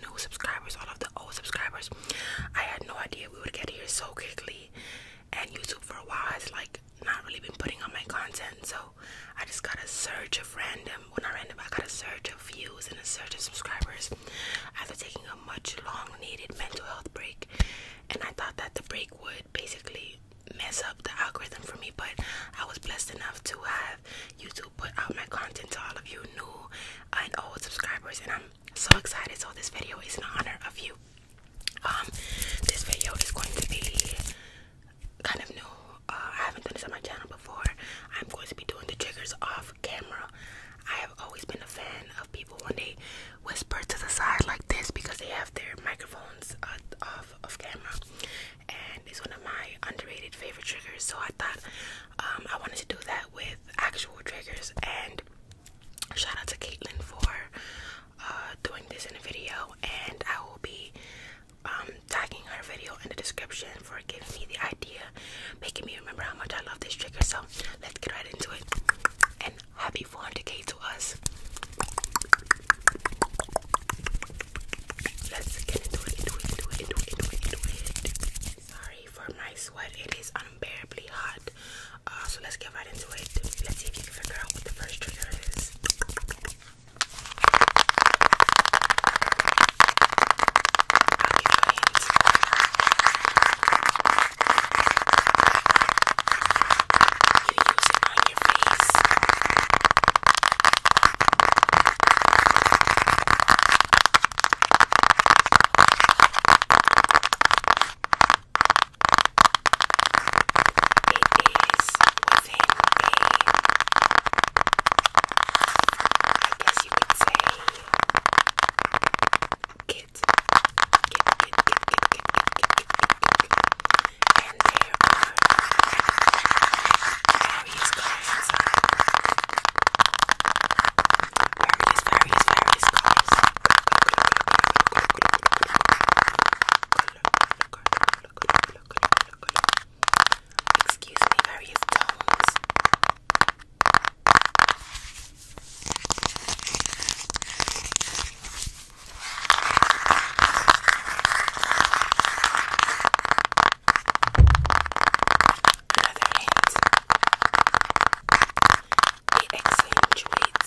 new subscribers, all of the old subscribers. I had no idea we would get here so quickly, and YouTube for a while has like not really been putting on my content, so I just got a surge of random, well, not random, I got a surge of views and a surge of subscribers after taking a much long needed mental health break. And I thought that the break would basically mess up the algorithm for me, but I was blessed enough to have YouTube put out my content to all of you new and old subscribers, and I'm so excited. So this video is in honor of you. Um, this video is going to be kind of new. Uh, I haven't done this on my channel before. I'm going to be doing the triggers off camera. I have always been a fan of people when they whisper to the side like this because they have their microphones uh, off of camera and it's one of my underrated favorite triggers. So I thought um, I wanted to do that with actual triggers. And shout out to Caitlin for uh, doing this in a video. And I will be um, tagging her video in the description for giving me the idea, making me remember how much I love this trigger. So let's get right into it. And happy 400k to us. Let's get into it, into it, into it, into it, into it, into it. Sorry for my sweat, it is unbearably hot. Uh, so let's get right into it. Let's see if you can figure out what the first trigger is. I'll give you a hint. You use it on your face within a, I guess you could say, kit, kit, kit, kit, kit, kit, kit, kit, kit, kit, kit. and there are various colors. Various, various, various colors. Excuse me, various tones. Very Another hint. It accentuates your bones.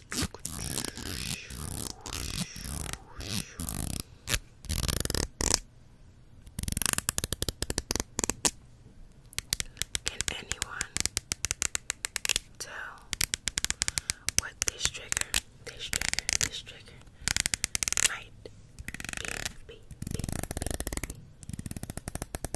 Can anyone tell what this trigger, this trigger, this trigger might be?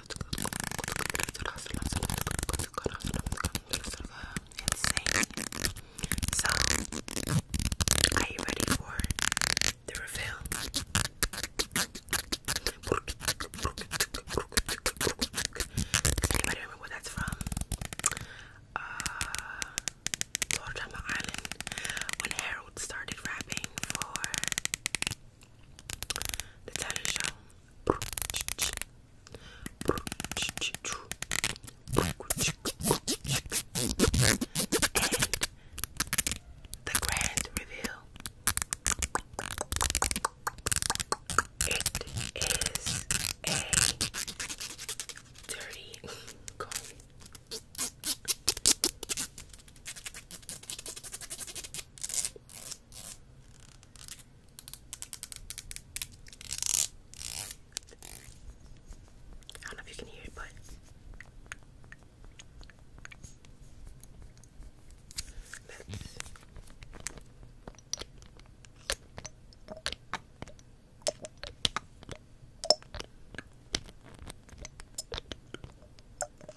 insane. So, are you ready for the reveal? Does anybody remember where that's from? Uh, Island. When Harold started rapping for the talent show. the grand reveal. It is a dirty comb. I don't know if you can hear it, but let's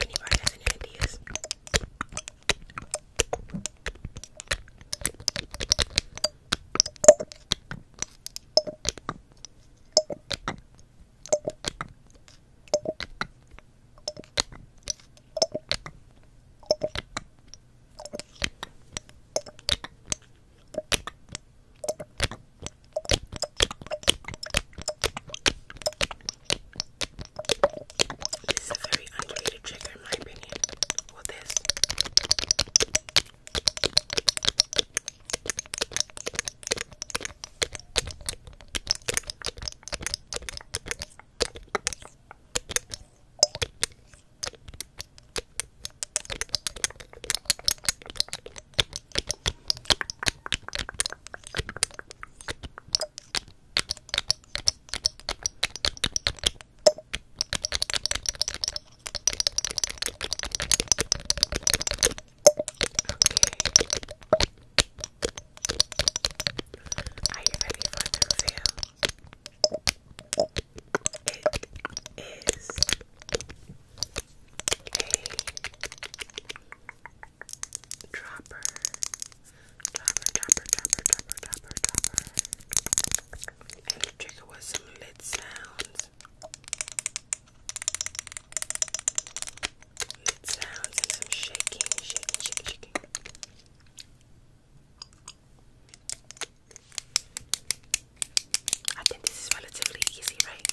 Anybody has any ideas? This is a very underrated trigger, in my opinion. Well, this. Are you ready for Tuesday? It is a Dropper. Dropper, dropper, dropper, dropper, dropper, dropper. And the trigger was some lit sounds. Lit sounds and some shaking, shaking, shaking, shaking. I think this is relatively easy, right?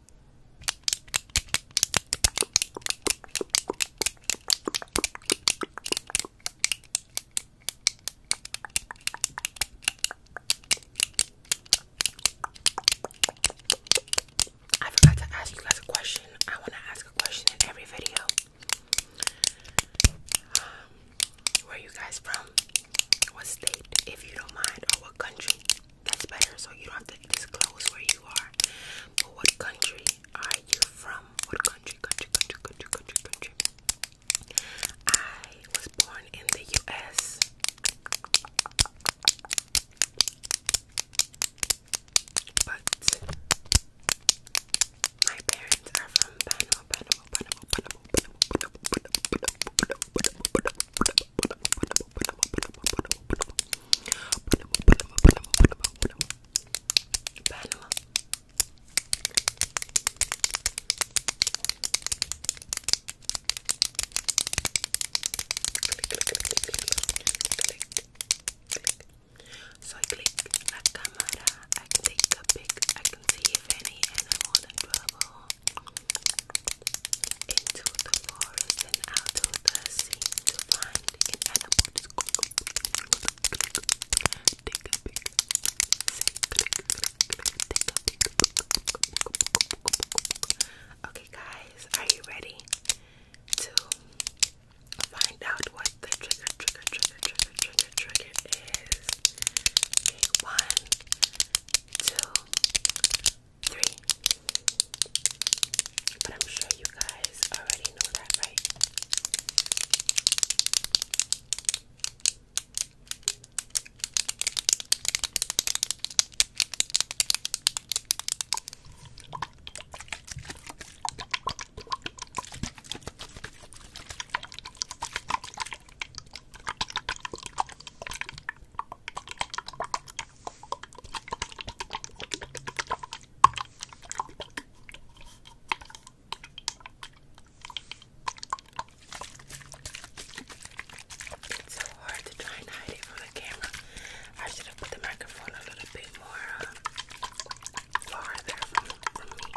I forgot to ask you guys a question. I want to ask a question in every video. Um, where are you guys from? What state, if you don't mind, or what country? That's better, so you don't have to disclose where you are. But what country are you from? What country, country, country, country, country, country? I was born in the US. But my parents are from Panama, so I click la camera, I take a pic, I can see if any animal I want trouble. Okay, guys, are you ready to find out what the trigger, trigger, trigger, trigger, trigger, trigger is? one, two, three. But I'm sure you guys already know that, right? It's so hard to try and hide it from the camera. I should have put the microphone a little bit more uh, farther from, from me.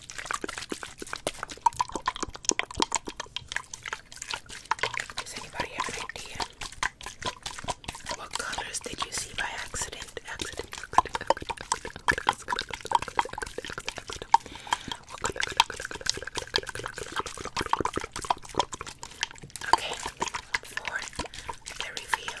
Does anybody have an idea? What colors did you see by accident? Accident, accident, accident, accident, accident, accident, accident. What color, color, color, color, color, color, color, color, color. Okay, for the reveal.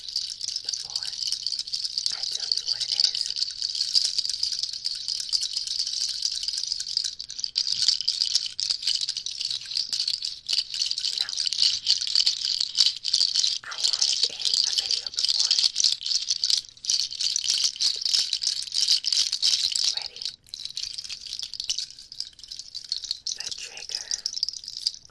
before I tell you what it is. No. I had it in a video before. Ready? The trigger that I this is a traditional uh,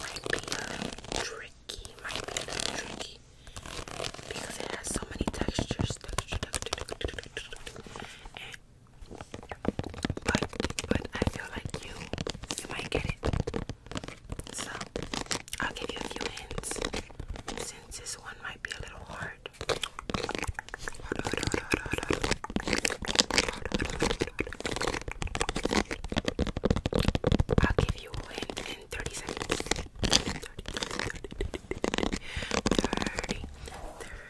instrument. might be uh, tricky, might be a tricky. Because it has so many textures, but but I feel like you you might get it. So I'll give you a few since this one might be a little hard. I'll give you a hint in 30 seconds. 30, 30, 30, 30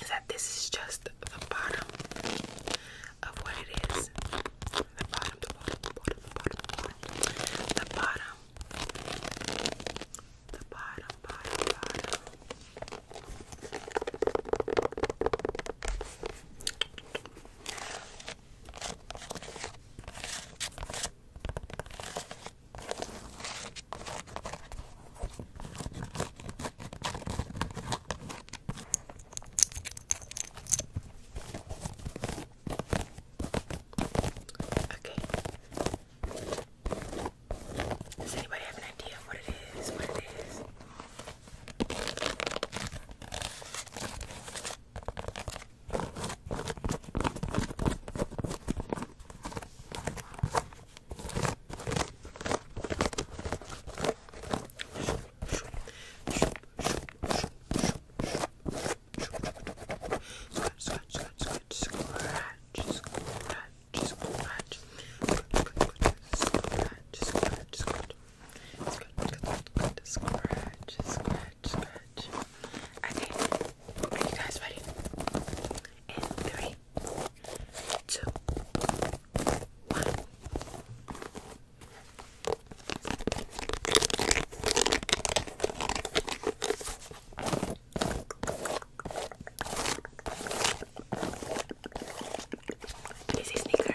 is that this is just the bottom of what it is. The bottom, the bottom, bottom, bottom, bottom. The bottom. The bottom, bottom, bottom. Okay. Does anybody have an idea what it is? What it is? Scratch, scratch, scratch, scratch, scratch, scratch, scratch, scratch, scratch. Scratch, scratch, scratch, scratch. Okay, are you guys ready? In three, two, one. This is Snicker.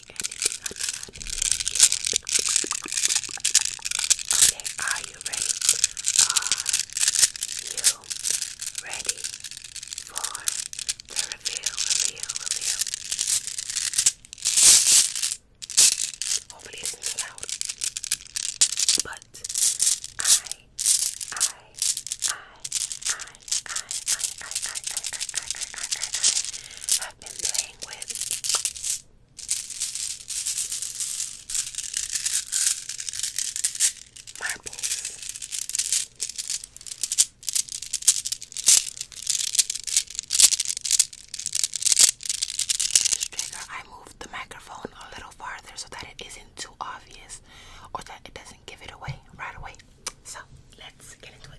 Okay, are you ready? Are you ready for the reveal, reveal, reveal? Hopefully it's not loud. But I, I, I, I I have been playing with. Marbles. trigger, I moved the microphone a little farther so that it isn't too obvious or that it doesn't give it away right away. So let's get into it.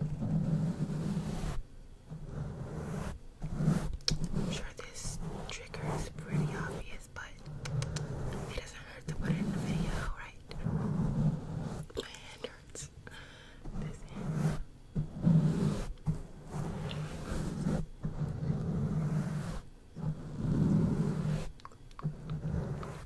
I'm sure this trigger is pretty obvious, but it doesn't hurt to put it in the video, right? My hand hurts. This hand.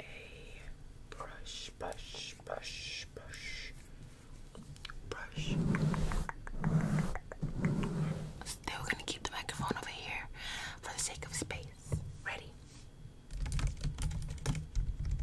a brush, brush, brush, brush, brush. Still gonna keep the microphone over here for the sake of space. Ready? brush, brush, brush, brush, brush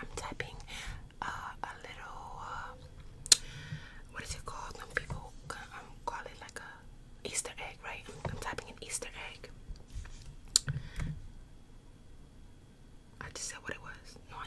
I'm typing uh, a little, uh, what is it called? Some people um, call it like a Easter egg, right? I'm, typing an Easter egg. I just said what it was. No, I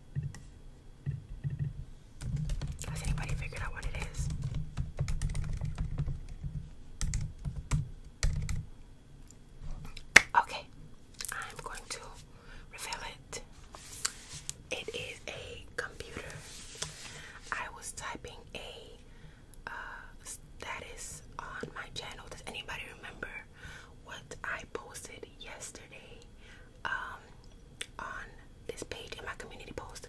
Has anybody figured out what it is? Okay, I'm going to reveal it. It is a computer. I was typing a uh, status on my channel. Does anybody remember what I posted yesterday um, on this page in my community post.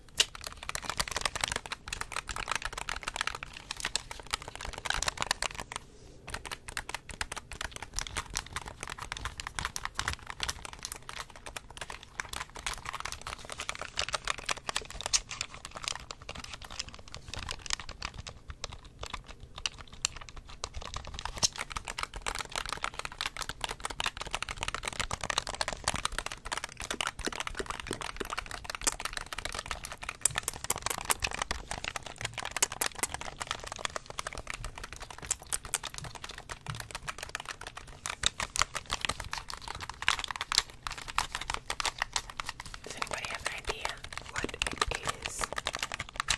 Does anybody have an idea what it is?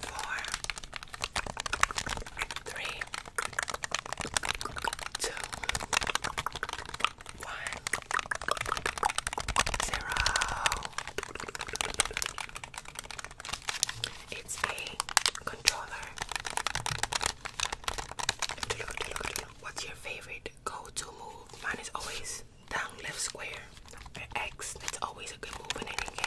four, three, two, one, zero. It's a controller. What's your favorite go-to move? Mine is always down left square X. That's always a good move in any game.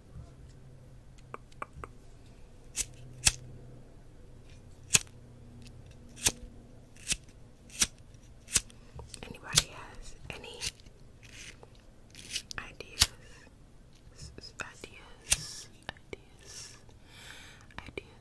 Anybody has any ideas? Ideas, ideas, ideas.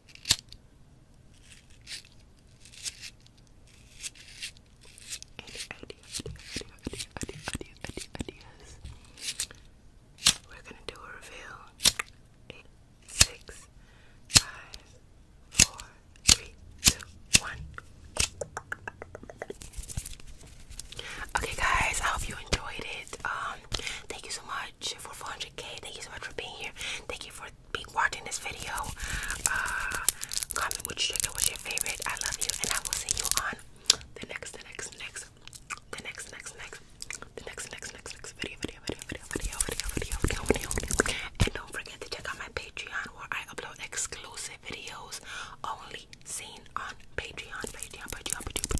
ideas, ideas, ideas, ideas, ideas. We're gonna do a reveal. Eight, six, five, four, three, two, one. Okay, guys, I hope you enjoyed it. Um, thank you so much for 400k. Thank you so much for being here. Thank you for watching this video. Uh, comment which trigger was your favorite. I love you, and I will see you on the next, the next, next, the next, next, next, the next, next, next, next video, video, video, video, video, video, video, video, video, And don't forget to check out my Patreon where I upload exclusive videos only seen on Patreon. Patreon, Patreon, Patreon.